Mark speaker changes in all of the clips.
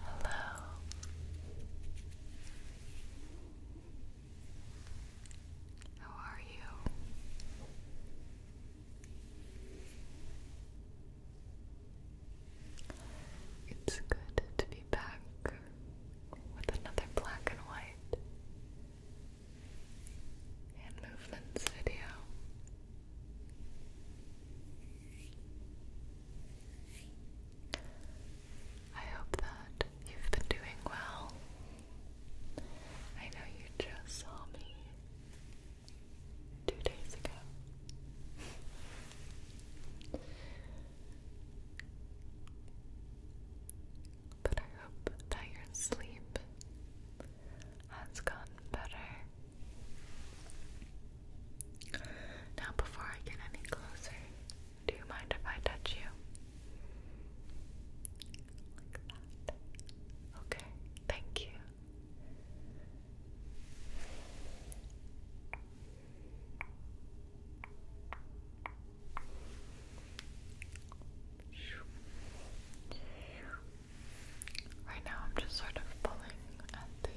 Speaker 1: Hello. How are you? It's good to be back with another black and white hand movements video. I hope that you've been doing well. I know you just saw me two days ago. But I hope that your sleep has gotten better. Now, before I get any closer, do you mind if I touch you? Like that. Okay, thank you. Right now, I'm just sort of pulling at the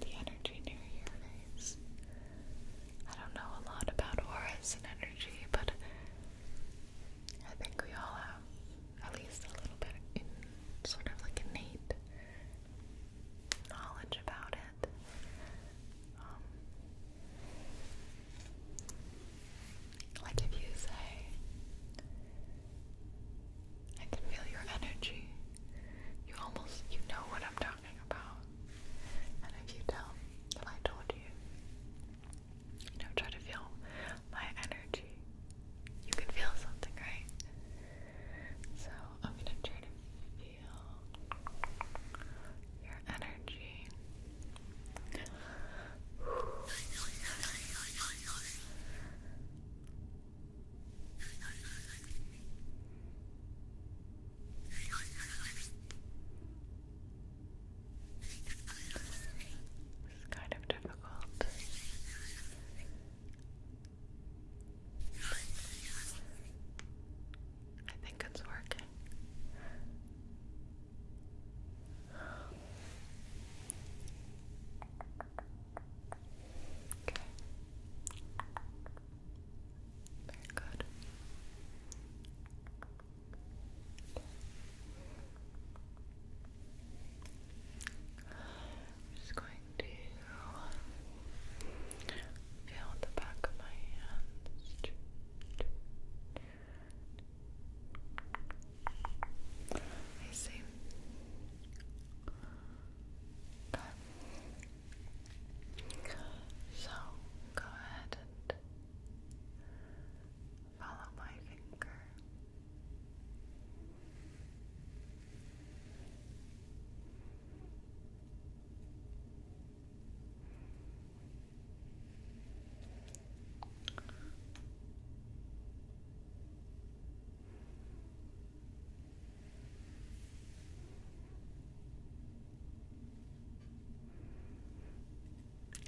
Speaker 1: the energy near your I don't know a lot about auras and energy, but I think we all have at least a little bit sort of like innate knowledge about it. Um, like if you say, I can feel your energy, you almost, you know what I'm talking about. And if you tell, if I told you, you know, try to feel my energy, you can feel something, right? So I'm gonna try to feel your energy. It's kind of difficult I think it's working. Okay. Very good. just going to feel the back of my hands. I see. So go ahead and follow my finger.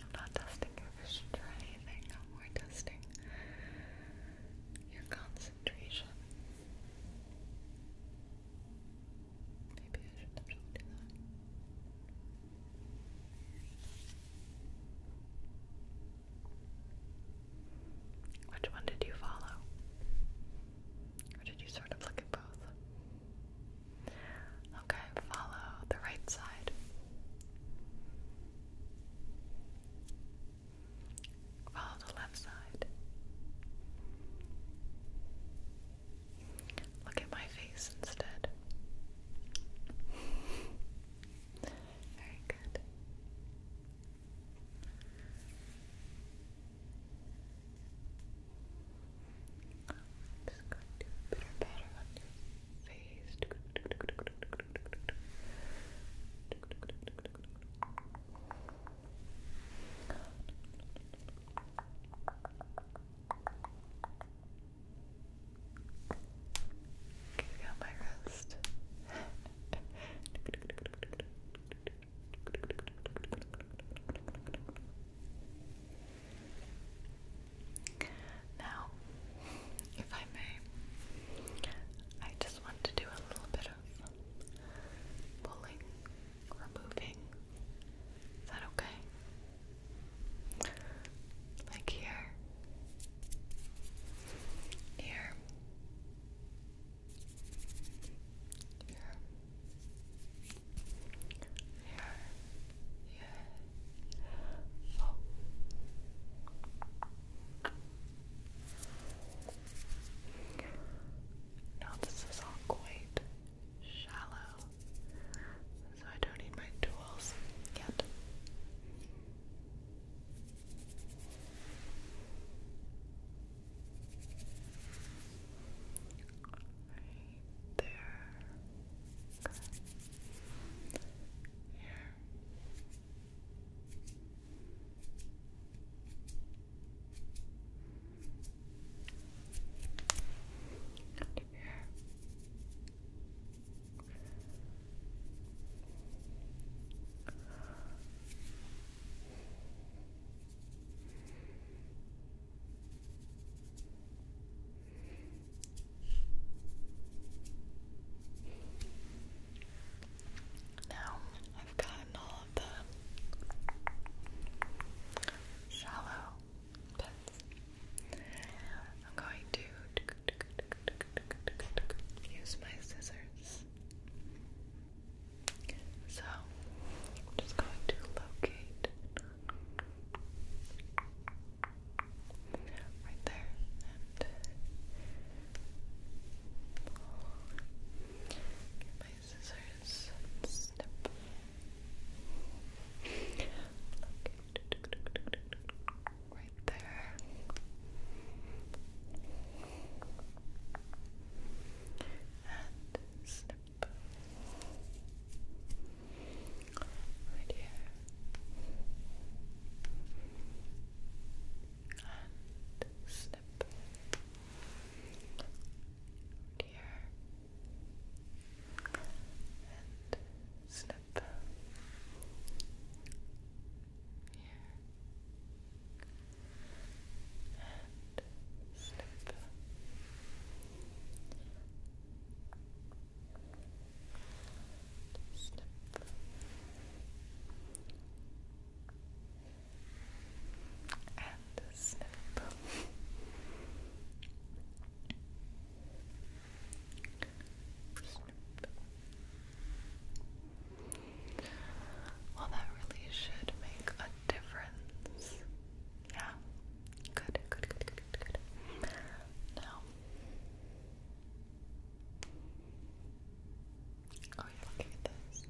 Speaker 1: I'm not testing your anything, no more testing your concentration. Maybe I should actually do that. Which one did you follow? Or did you sort of look at both? Okay, follow the right side. Follow the left side. Look at my face instead. Very good. I'm going to do a on your face. Getting on my wrist. Now, if I may, I just want to do a little bit of of pulling, removing. Is that okay? Like here, here, here, here, here. Oh. Now this is all quite shallow, so I don't need my tools yet. Right there. Here. Out of here. Now I've gotten all of the shallow bits. I'm going to use my scissors. So I'm just going to locate right there and pull my scissors snip. Right there. And snip. Right here and snip here and snip here and snip Snip. And a snip. Well, that really should make a difference. Yeah. good, good, good, good, good. Now, Oh yeah, look at this.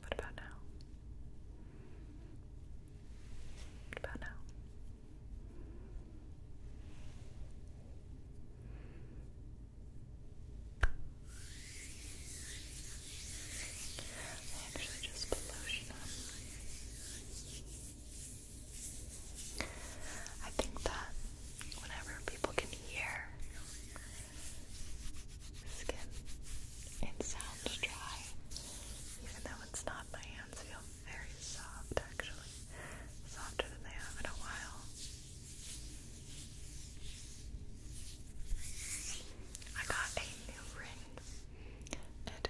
Speaker 1: What about now? What about now? I actually just put I think that whenever people can hear skin, it sounds dry, even though it's not. My hands feel very soft, actually, softer than they have in a while. I got a new ring. It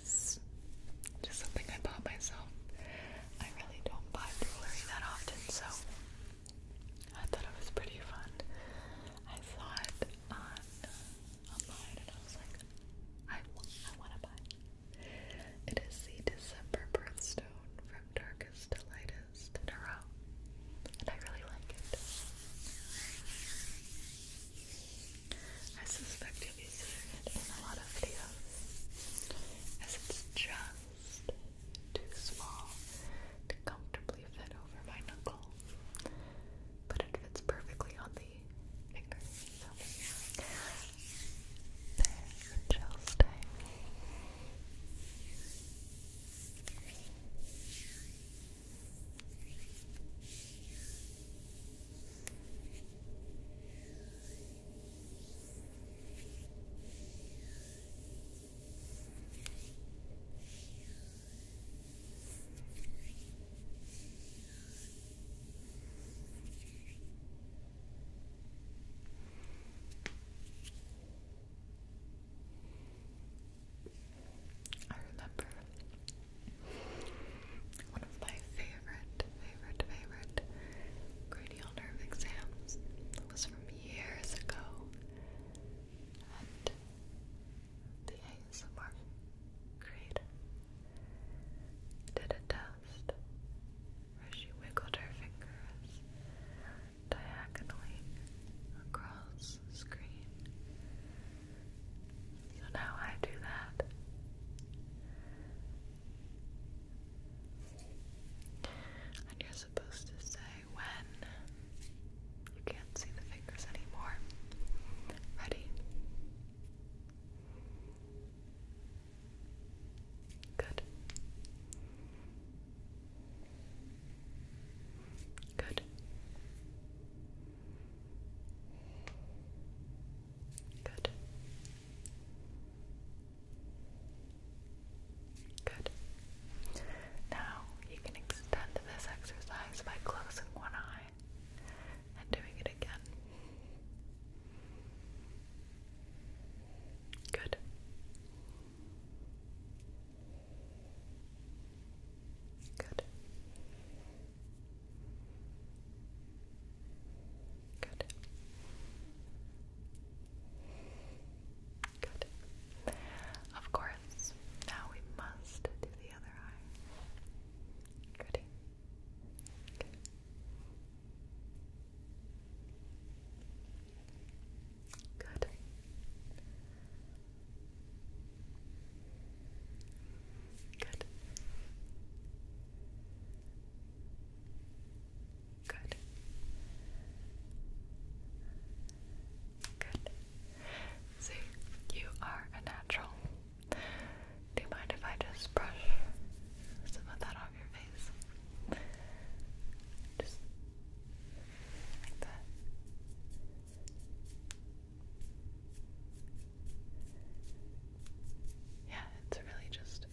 Speaker 1: it's just something I bought myself. I really don't buy jewelry that often, so I thought it was pretty fun. I saw it uh, online and I was like, I, I want to buy it. It is the December birthstone from Darkest to Lightest in a row, and I really like it. I suspect you'll be seeing in a lot of videos, as it's just too small to comfortably fit over my knuckle, but it fits perfectly on the finger. So there it shall stay. I remember one of my favorite, favorite, favorite cranial nerve exams. It was from years ago. And the ASMR creator did a test where she wiggled her fingers diagonally across the screen so now I do that. And you're supposed to say when you can't see the fingers anymore. Ready? Good. Good. Good. Good. Now you can extend this exercise by closing one eye and doing it again. Good. Good. Good. Good. Of course, now we must do the other eye. Ready? Good. Good. Good. Good. See, you are a natural. Do you mind if I just brush some of that off your face? Just like that. Yeah, it's really just a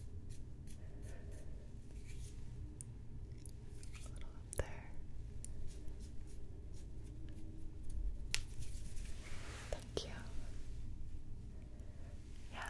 Speaker 1: little up there. Thank you. Yeah.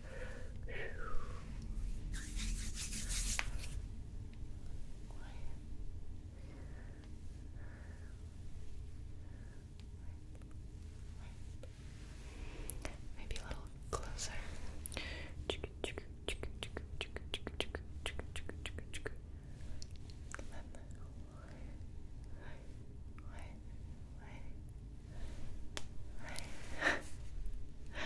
Speaker 1: Maybe a little closer.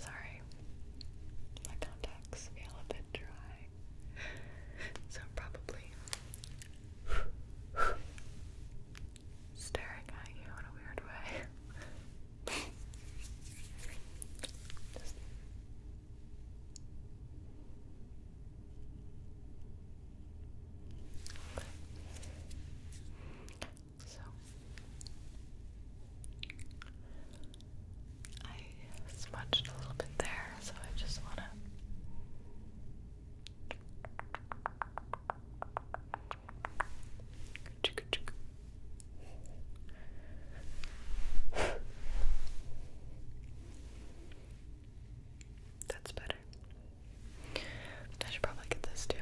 Speaker 1: Sorry, my contacts feel a bit dry, so probably staring at you in a weird way. So I smudged a little bit there, so I just want to that's better. I should probably get this too.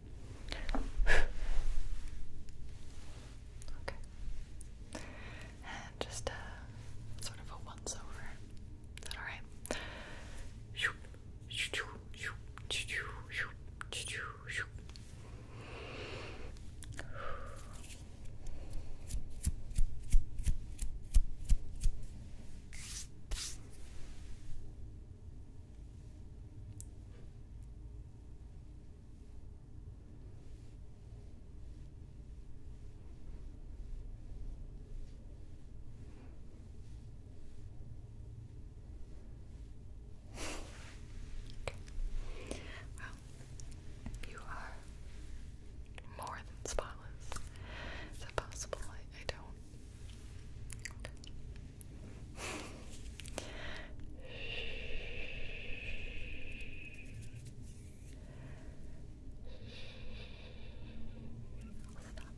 Speaker 1: okay. And just a uh, sort of a once over. Is that alright? Okay. Well, you are more than spotless. Is that possible? I, don't. Stop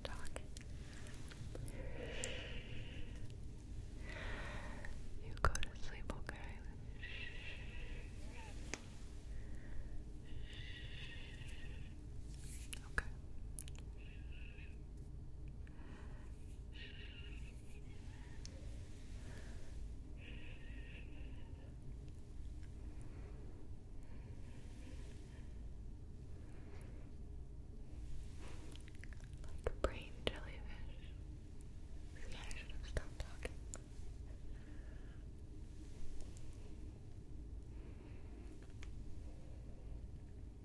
Speaker 1: talking. You go to sleep, okay? Okay. Like brain jellyfish. Yeah, should have talking.